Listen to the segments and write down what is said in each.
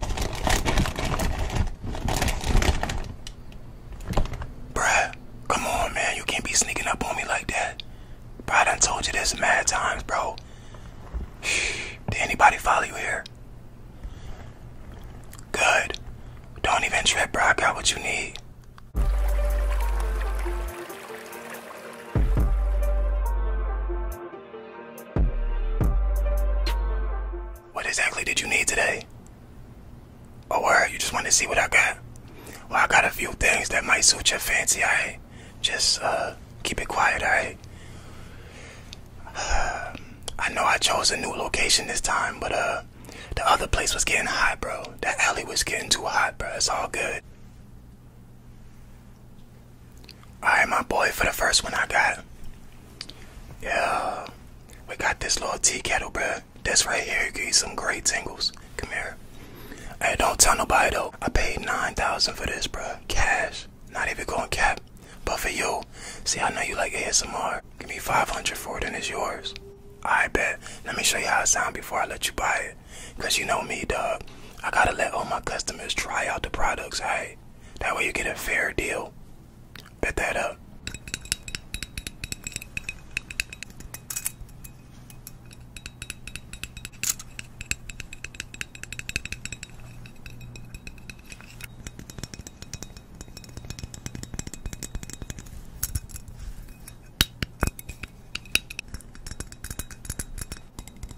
Bruh, come on, man. You can't be sneaking up on me like that. Bro, I done told you this mad times, bro. Did anybody follow you here? Good. Don't even trip, bro. I got what you need. What exactly did you need today? Or word, you just wanted to see what I got? Well, I got a few things that might suit your fancy, I Just uh, keep it quiet, alright? I know I chose a new location this time, but uh, the other place was getting hot, bro. That alley was getting too hot, bro. It's all good. Alright, my boy, for the first one I got. Yeah. We got this little tea kettle, bro. This right here give you some great tingles. Come here. Hey, don't tell nobody though. I paid 9000 for this, bro. Cash. Not even going cap. But for you, see, I know you like ASMR. Give me 500 for it and it's yours. I bet. Let me show you how it sound before I let you buy it. Cause you know me, dog. I gotta let all my customers try out the products, alright? That way you get a fair deal. Bet that up.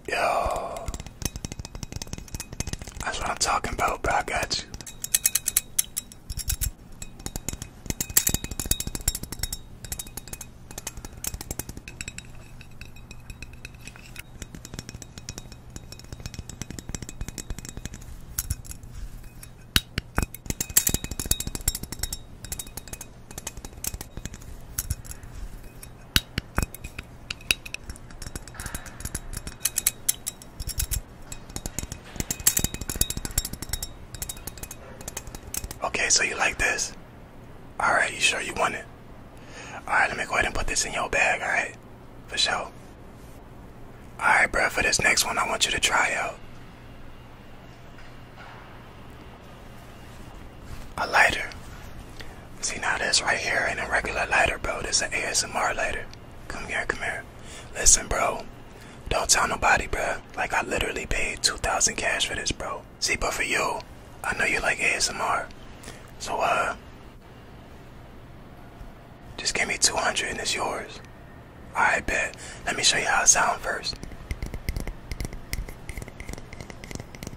Yo. That's what I'm talking about, bro. I got you. Okay, so you like this? Alright, you sure you want it? Alright, let me go ahead and put this in your bag, alright? For sure. Alright, bruh, for this next one, I want you to try out a lighter. See now this right here ain't a regular lighter, bro. This is an ASMR lighter. Come here, come here. Listen, bro. Don't tell nobody, bro. Like I literally paid 2,000 cash for this, bro. See, but for you, I know you like ASMR. So, uh, just give me 200 and it's yours. I bet. Let me show you how it sounds first.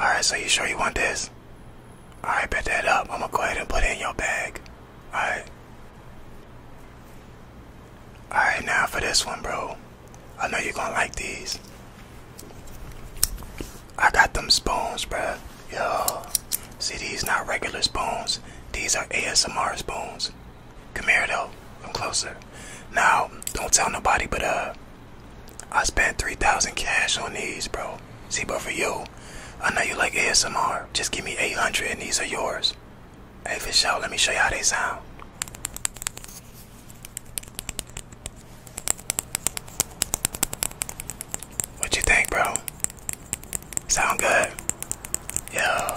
Alright, so you sure you want this? Alright, bet that up. I'm gonna go ahead and put in your bag. Alright. Alright, now for this one, bro. I know you're gonna like these. I got them spoons, bro. Yo. See, these not regular spoons. These are ASMR spoons. Come here, though. Come closer. Now, don't tell nobody, but, uh, I spent 3,000 cash on these, bro. See, but for you, I know you like ASMR. Just give me 800 and these are yours. Hey, for show. let me show you how they sound. What you think, bro? Sound good? Yo.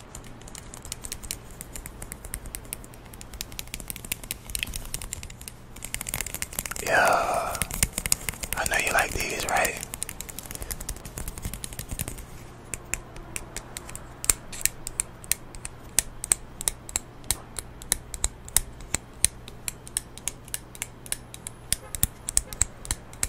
Yeah, I know you like these, right?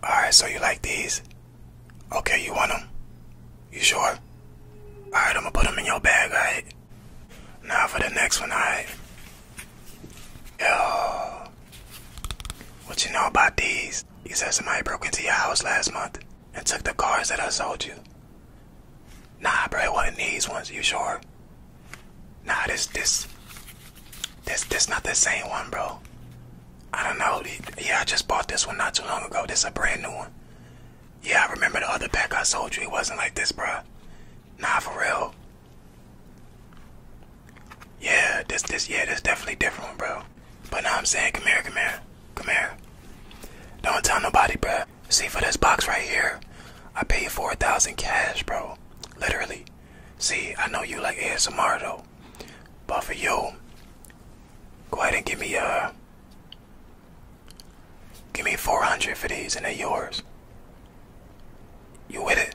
All right, so you like these? Okay, you want them? You sure? All right, I'm gonna put them in your bag, all right? Now for the next one, all right? Yo, what you know about these? You said somebody broke into your house last month and took the cars that I sold you. Nah, bro, it wasn't these ones. You sure? Nah, this, this, this, this not the same one, bro. I don't know. Yeah, I just bought this one not too long ago. This a brand new one. Yeah, I remember the other pack I sold you. It wasn't like this, bro. Nah, for real. Yeah, this, this, yeah, this definitely different, bro. But now I'm saying, come here, come here, come here. Don't tell nobody, bro. See, for this box right here, I paid 4000 cash, bro. Literally. See, I know you like ASMR, though. But for you, go ahead and give me, uh, give me 400 for these and they're yours. You with it?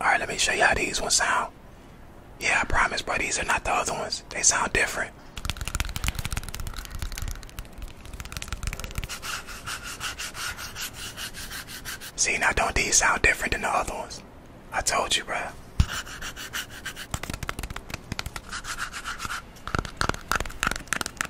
Alright, let me show you how these ones sound. Yeah, I promise, bro, these are not the other ones. They sound different. See, now don't these sound different than the other ones? I told you, bro.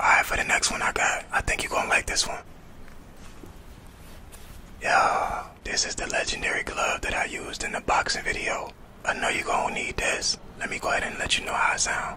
Alright, for the next one I got, I think you're gonna like this one. Yo, this is the legendary glove that I used in the boxing video. I know you're gonna need this. Let me go ahead and let you know how it sound.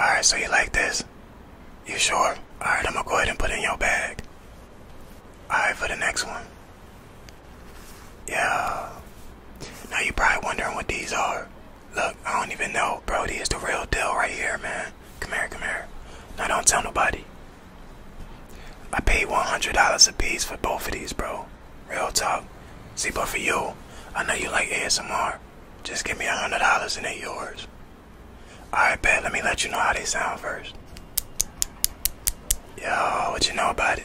Alright, so you like this? You sure? Alright, I'm gonna go ahead and put in your bag. Alright, for the next one. Yeah. Now you probably wondering what these are. Look, I don't even know, bro. These the real deal right here, man. Come here, come here. Now don't tell nobody. I paid $100 a piece for both of these, bro. Real talk. See, but for you, I know you like ASMR. Just give me a hundred dollars and it' yours. Alright, Ben. Let me let you know how they sound first. Yo, what you know about it?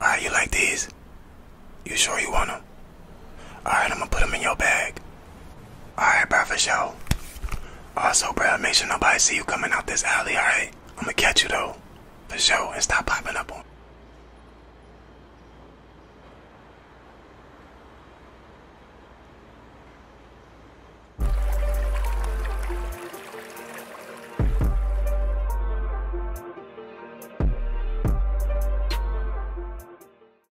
Alright, you like these? You sure you want them? Alright, I'm gonna put them in your bag. Alright, bro, for sure. Also, bro, make sure nobody see you coming out this alley, alright? I'm gonna catch you, though. For sure, and stop popping up on